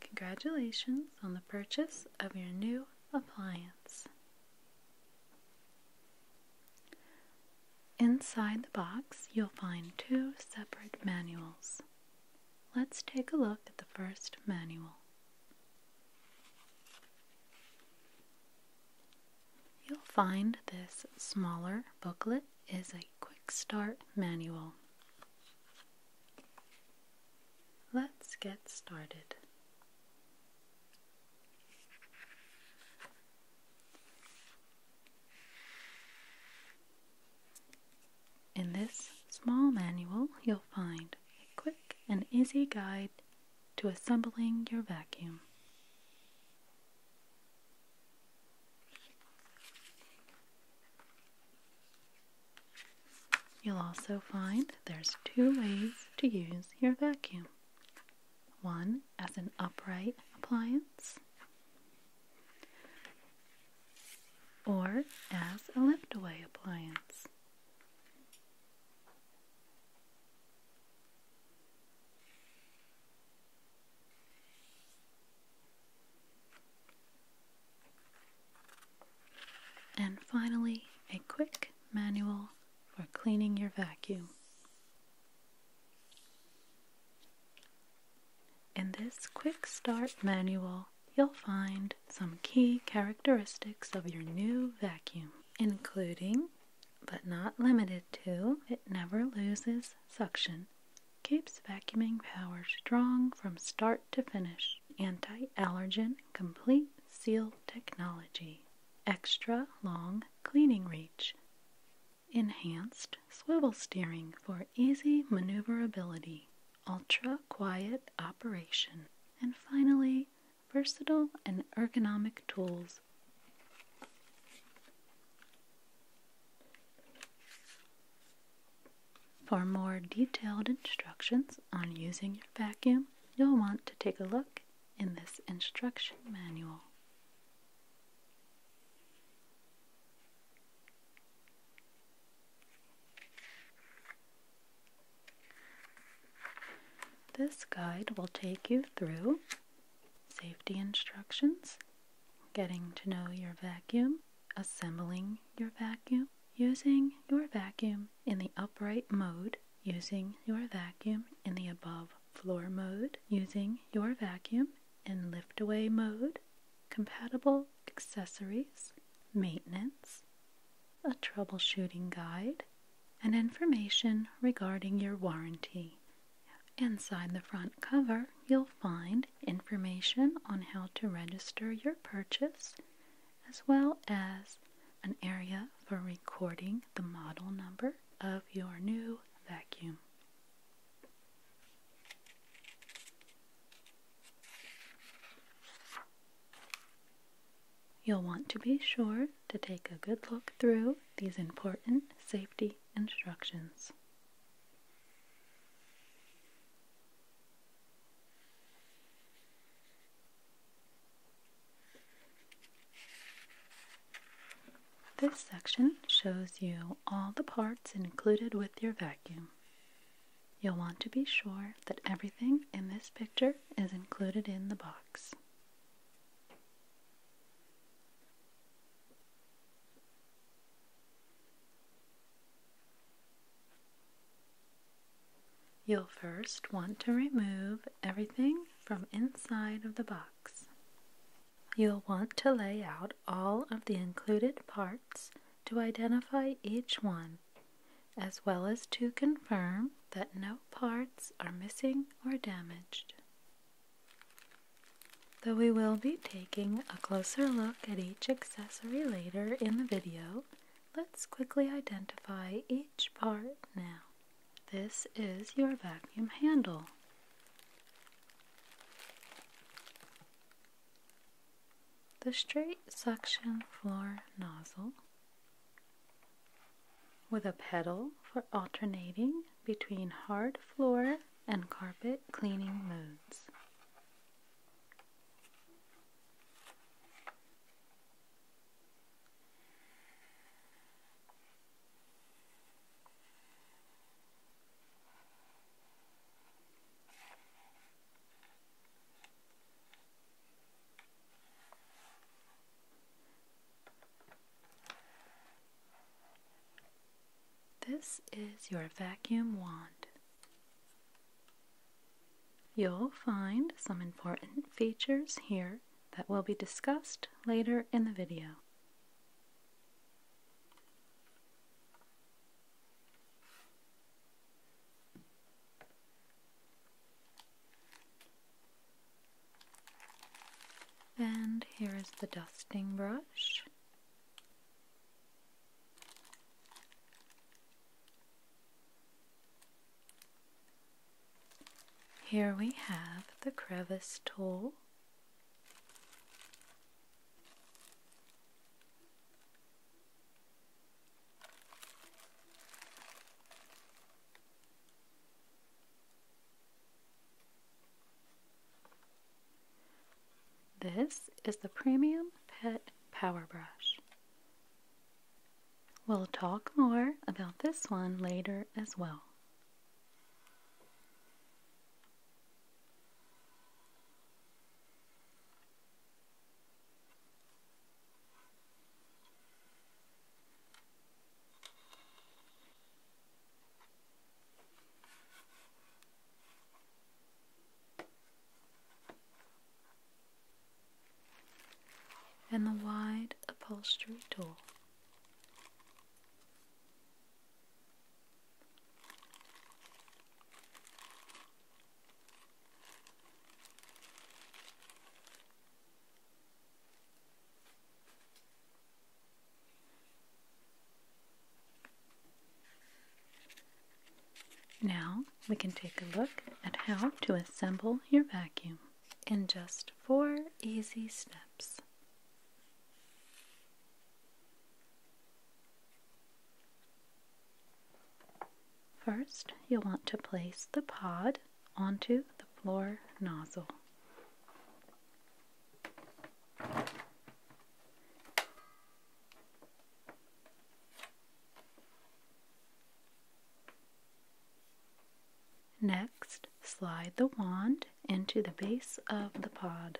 Congratulations on the purchase of your new appliance. Inside the box, you'll find two separate manuals. Let's take a look at the first manual. You'll find this smaller booklet is a quick start manual. Let's get started. In this small manual, you'll find a quick and easy guide to assembling your vacuum. You'll also find there's two ways to use your vacuum. One as an upright appliance or as a lift away appliance. And finally, a quick manual for cleaning your vacuum. In this quick start manual, you'll find some key characteristics of your new vacuum, including, but not limited to, it never loses suction, keeps vacuuming power strong from start to finish, anti allergen complete seal technology, extra long cleaning reach. Enhanced swivel steering for easy maneuverability, ultra quiet operation, and finally, versatile and ergonomic tools. For more detailed instructions on using your vacuum, you'll want to take a look in this instruction manual. This guide will take you through safety instructions, getting to know your vacuum, assembling your vacuum, using your vacuum in the upright mode, using your vacuum in the above floor mode, using your vacuum in lift away mode, compatible accessories, maintenance, a troubleshooting guide, and information regarding your warranty. Inside the front cover, you'll find information on how to register your purchase, as well as an area for recording the model number of your new vacuum. You'll want to be sure to take a good look through these important safety instructions. This section shows you all the parts included with your vacuum. You'll want to be sure that everything in this picture is included in the box. You'll first want to remove everything from inside of the box. You'll want to lay out all of the included parts to identify each one, as well as to confirm that no parts are missing or damaged. Though we will be taking a closer look at each accessory later in the video, let's quickly identify each part now. This is your vacuum handle. The straight suction floor nozzle with a pedal for alternating between hard floor and carpet cleaning modes. This is your vacuum wand. You'll find some important features here that will be discussed later in the video. And here is the dusting brush. Here we have the crevice tool. This is the Premium Pet Power Brush. We'll talk more about this one later as well and the wide upholstery door. Now we can take a look at how to assemble your vacuum in just four easy steps. First, you'll want to place the pod onto the floor nozzle. Next, slide the wand into the base of the pod.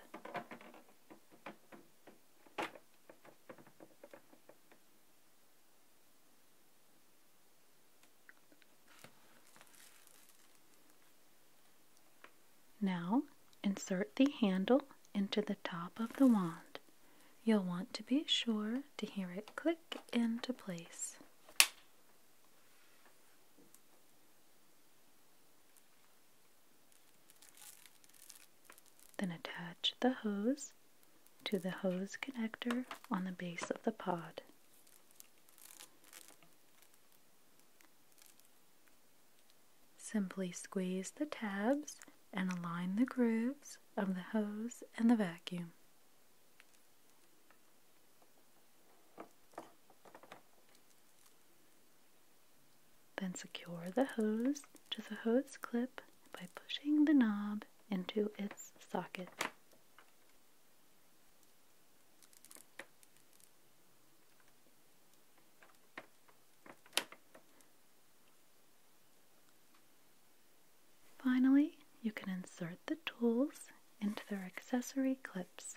Now insert the handle into the top of the wand. You'll want to be sure to hear it click into place. Then attach the hose to the hose connector on the base of the pod. Simply squeeze the tabs and align the grooves of the hose and the vacuum. Then secure the hose to the hose clip by pushing the knob into its socket. Finally, you can insert the tools into their accessory clips.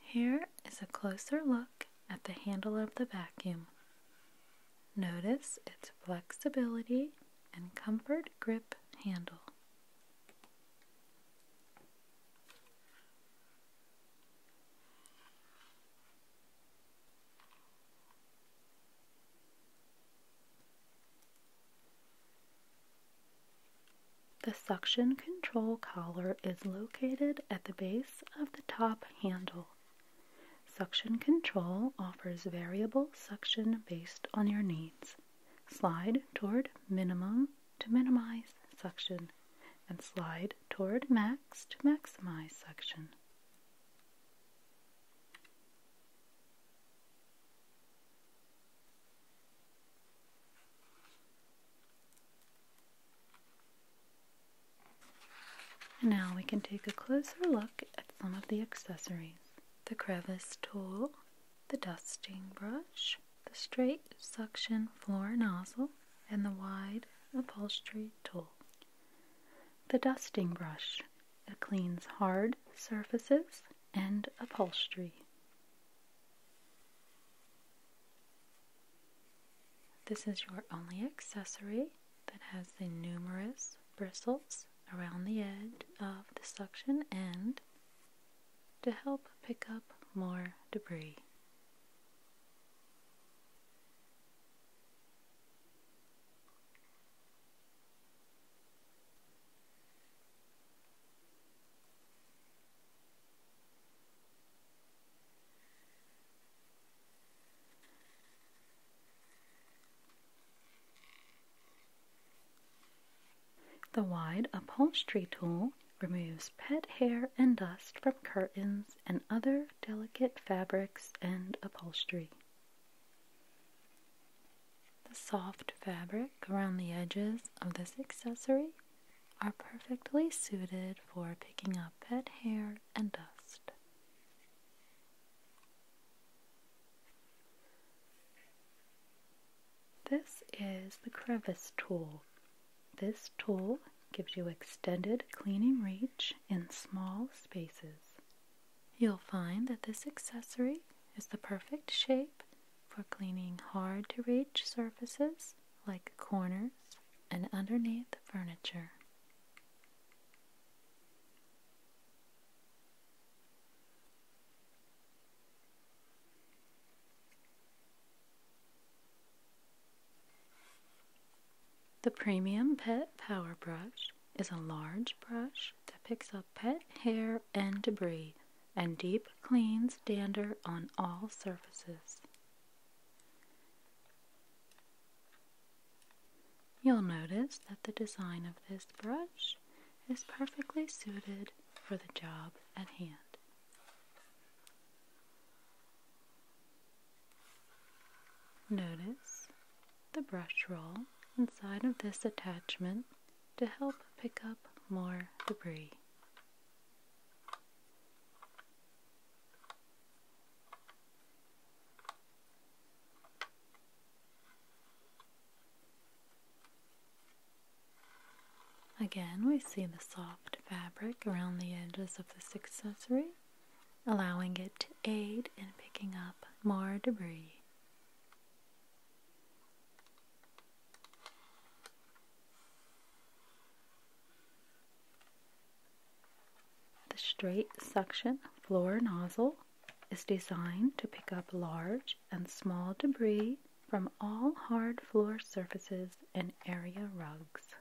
Here is a closer look at the handle of the vacuum. Notice its flexibility and comfort grip handle. The suction control collar is located at the base of the top handle. Suction control offers variable suction based on your needs. Slide toward minimum to minimize suction and slide toward max to maximize suction. And now we can take a closer look at some of the accessories. The crevice tool, the dusting brush, the straight suction floor nozzle, and the wide upholstery tool. The dusting brush. It cleans hard surfaces and upholstery. This is your only accessory that has the numerous bristles around the edge of the suction end to help pick up more debris. The wide upholstery tool removes pet hair and dust from curtains and other delicate fabrics and upholstery. The soft fabric around the edges of this accessory are perfectly suited for picking up pet hair and dust. This is the crevice tool. This tool gives you extended cleaning reach in small spaces. You'll find that this accessory is the perfect shape for cleaning hard to reach surfaces like corners and underneath furniture. The Premium Pet Power Brush is a large brush that picks up pet hair and debris and deep cleans dander on all surfaces. You'll notice that the design of this brush is perfectly suited for the job at hand. Notice the brush roll inside of this attachment to help pick up more debris. Again, we see the soft fabric around the edges of this accessory, allowing it to aid in picking up more debris. The straight suction floor nozzle is designed to pick up large and small debris from all hard floor surfaces and area rugs.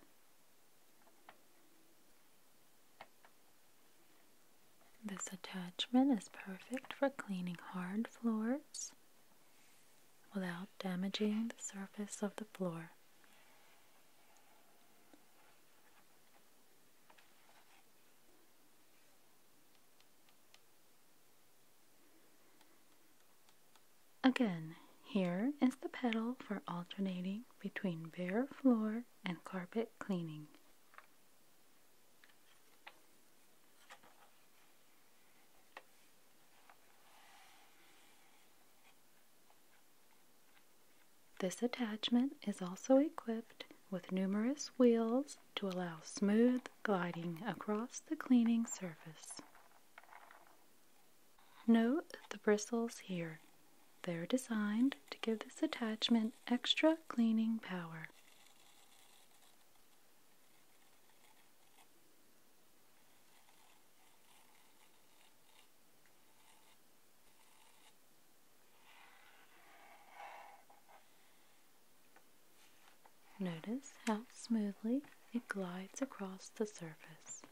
This attachment is perfect for cleaning hard floors without damaging the surface of the floor. Again, here is the pedal for alternating between bare floor and carpet cleaning. This attachment is also equipped with numerous wheels to allow smooth gliding across the cleaning surface. Note the bristles here. They're designed to give this attachment extra cleaning power. Notice how smoothly it glides across the surface.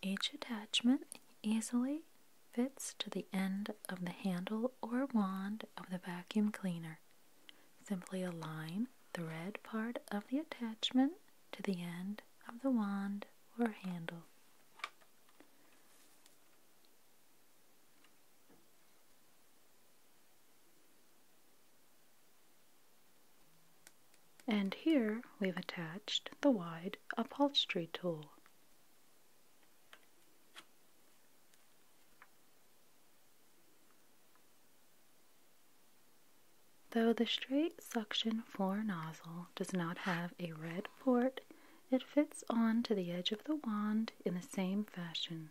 Each attachment easily fits to the end of the handle or wand of the vacuum cleaner. Simply align the red part of the attachment to the end of the wand or handle. And here we've attached the wide upholstery tool. Though the straight suction floor nozzle does not have a red port, it fits on to the edge of the wand in the same fashion.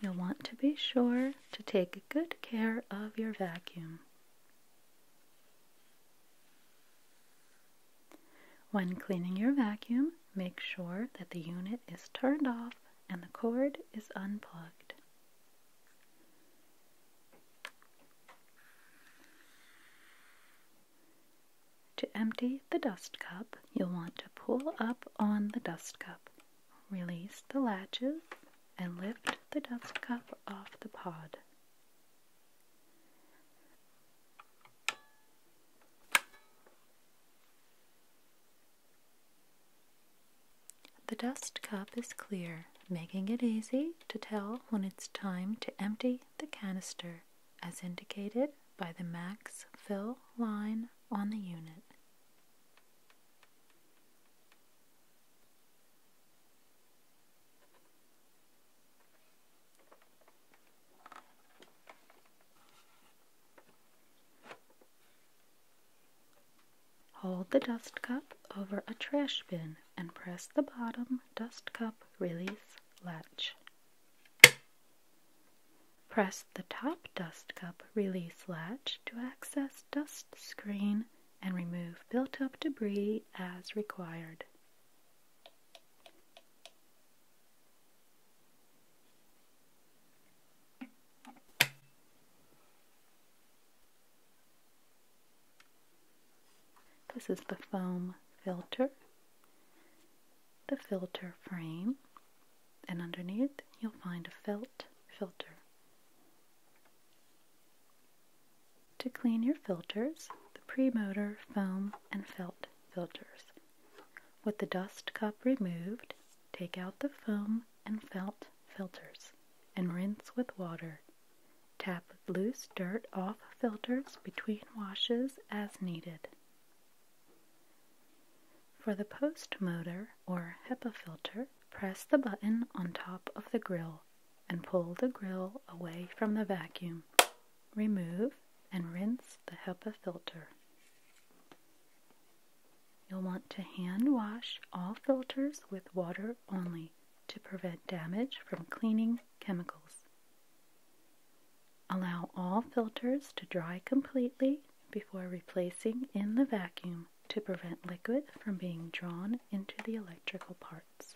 You'll want to be sure to take good care of your vacuum. When cleaning your vacuum, make sure that the unit is turned off and the cord is unplugged. To empty the dust cup, you'll want to pull up on the dust cup Release the latches and lift the dust cup off the pod. The dust cup is clear, making it easy to tell when it's time to empty the canister, as indicated by the max fill line on the unit. Hold the dust cup over a trash bin and press the bottom dust cup release latch. Press the top dust cup release latch to access dust screen and remove built-up debris as required. This is the foam filter, the filter frame, and underneath you'll find a felt filter. To clean your filters, the pre-motor, foam, and felt filters. With the dust cup removed, take out the foam and felt filters and rinse with water. Tap loose dirt off filters between washes as needed. For the post motor or HEPA filter, Press the button on top of the grill and pull the grill away from the vacuum. Remove and rinse the HEPA filter. You'll want to hand wash all filters with water only to prevent damage from cleaning chemicals. Allow all filters to dry completely before replacing in the vacuum to prevent liquid from being drawn into the electrical parts.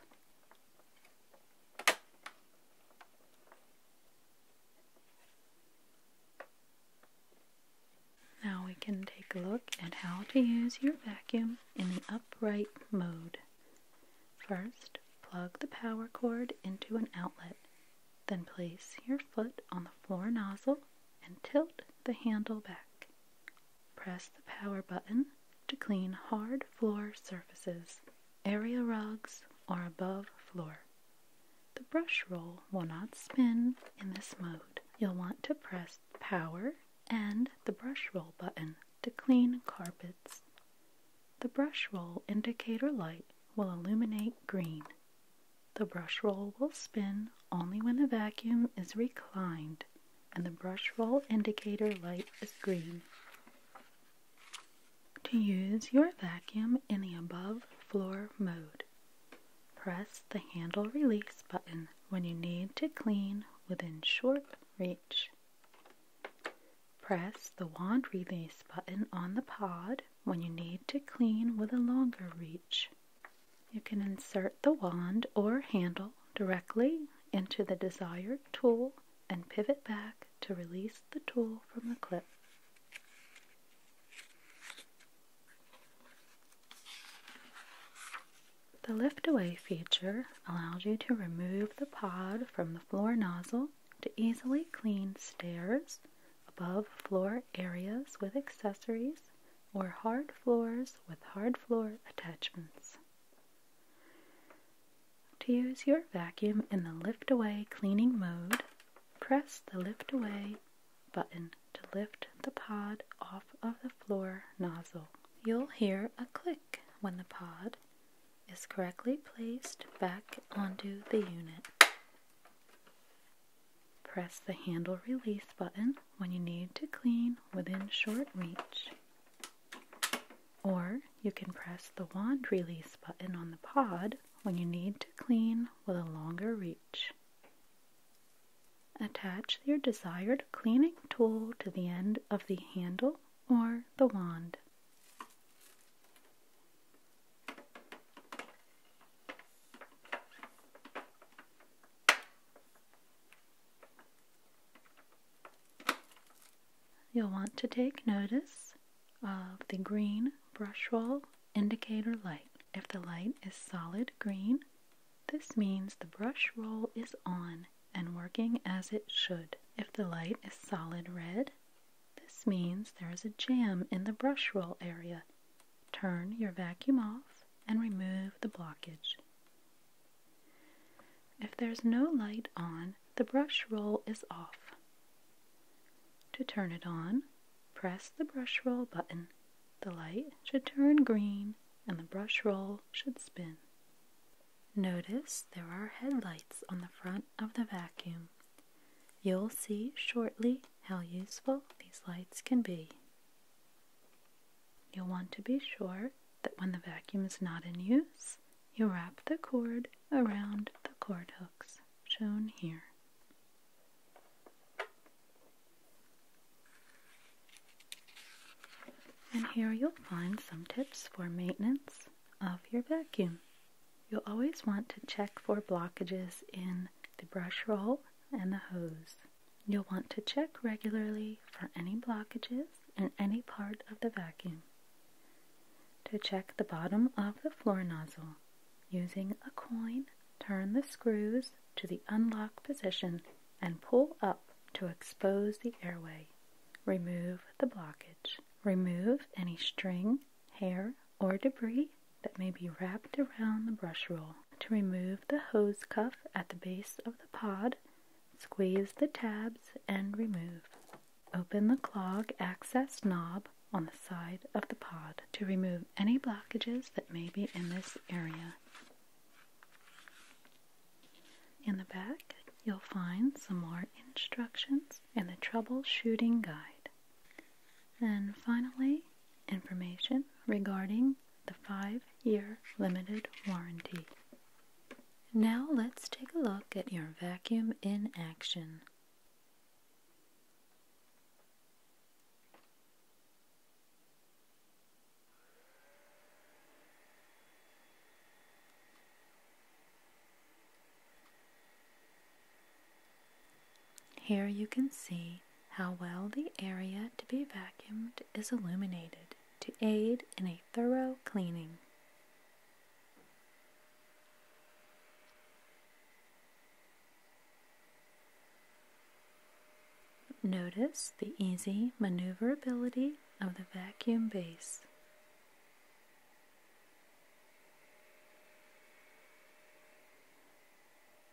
Now we can take a look at how to use your vacuum in the upright mode. First, plug the power cord into an outlet, then place your foot on the floor nozzle and tilt the handle back. Press the power button to clean hard floor surfaces, area rugs, or above floor. The brush roll will not spin in this mode. You'll want to press power and the brush roll button to clean carpets. The brush roll indicator light will illuminate green. The brush roll will spin only when the vacuum is reclined and the brush roll indicator light is green. To use your vacuum in the above floor mode, press the handle release button when you need to clean within short reach. Press the wand release button on the pod when you need to clean with a longer reach. You can insert the wand or handle directly into the desired tool and pivot back to release the tool from the clip. The lift away feature allows you to remove the pod from the floor nozzle to easily clean stairs, above floor areas with accessories, or hard floors with hard floor attachments. To use your vacuum in the lift away cleaning mode, press the lift away button to lift the pod off of the floor nozzle. You'll hear a click when the pod is correctly placed back onto the unit. Press the handle release button when you need to clean within short reach. Or you can press the wand release button on the pod when you need to clean with a longer reach. Attach your desired cleaning tool to the end of the handle or the wand. You'll want to take notice of the green brush roll indicator light. If the light is solid green, this means the brush roll is on and working as it should. If the light is solid red, this means there is a jam in the brush roll area. Turn your vacuum off and remove the blockage. If there's no light on, the brush roll is off. To turn it on, press the brush roll button. The light should turn green and the brush roll should spin. Notice there are headlights on the front of the vacuum. You'll see shortly how useful these lights can be. You'll want to be sure that when the vacuum is not in use, you wrap the cord around the cord hooks shown here. And here you'll find some tips for maintenance of your vacuum. You'll always want to check for blockages in the brush roll and the hose. You'll want to check regularly for any blockages in any part of the vacuum. To check the bottom of the floor nozzle, using a coin, turn the screws to the unlock position and pull up to expose the airway. Remove the blockage. Remove any string, hair, or debris that may be wrapped around the brush roll. To remove the hose cuff at the base of the pod, squeeze the tabs and remove. Open the clog access knob on the side of the pod to remove any blockages that may be in this area. In the back, you'll find some more instructions and the troubleshooting guide. And finally, information regarding the five year limited warranty. Now let's take a look at your vacuum in action. Here you can see how well the area to be vacuumed is illuminated to aid in a thorough cleaning. Notice the easy maneuverability of the vacuum base.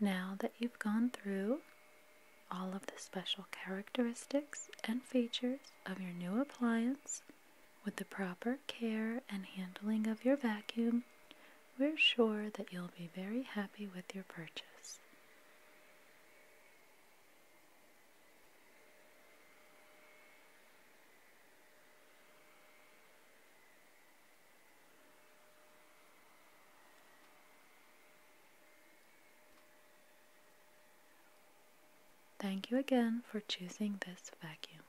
Now that you've gone through all of the special characteristics and features of your new appliance with the proper care and handling of your vacuum, we're sure that you'll be very happy with your purchase. Thank you again for choosing this vacuum.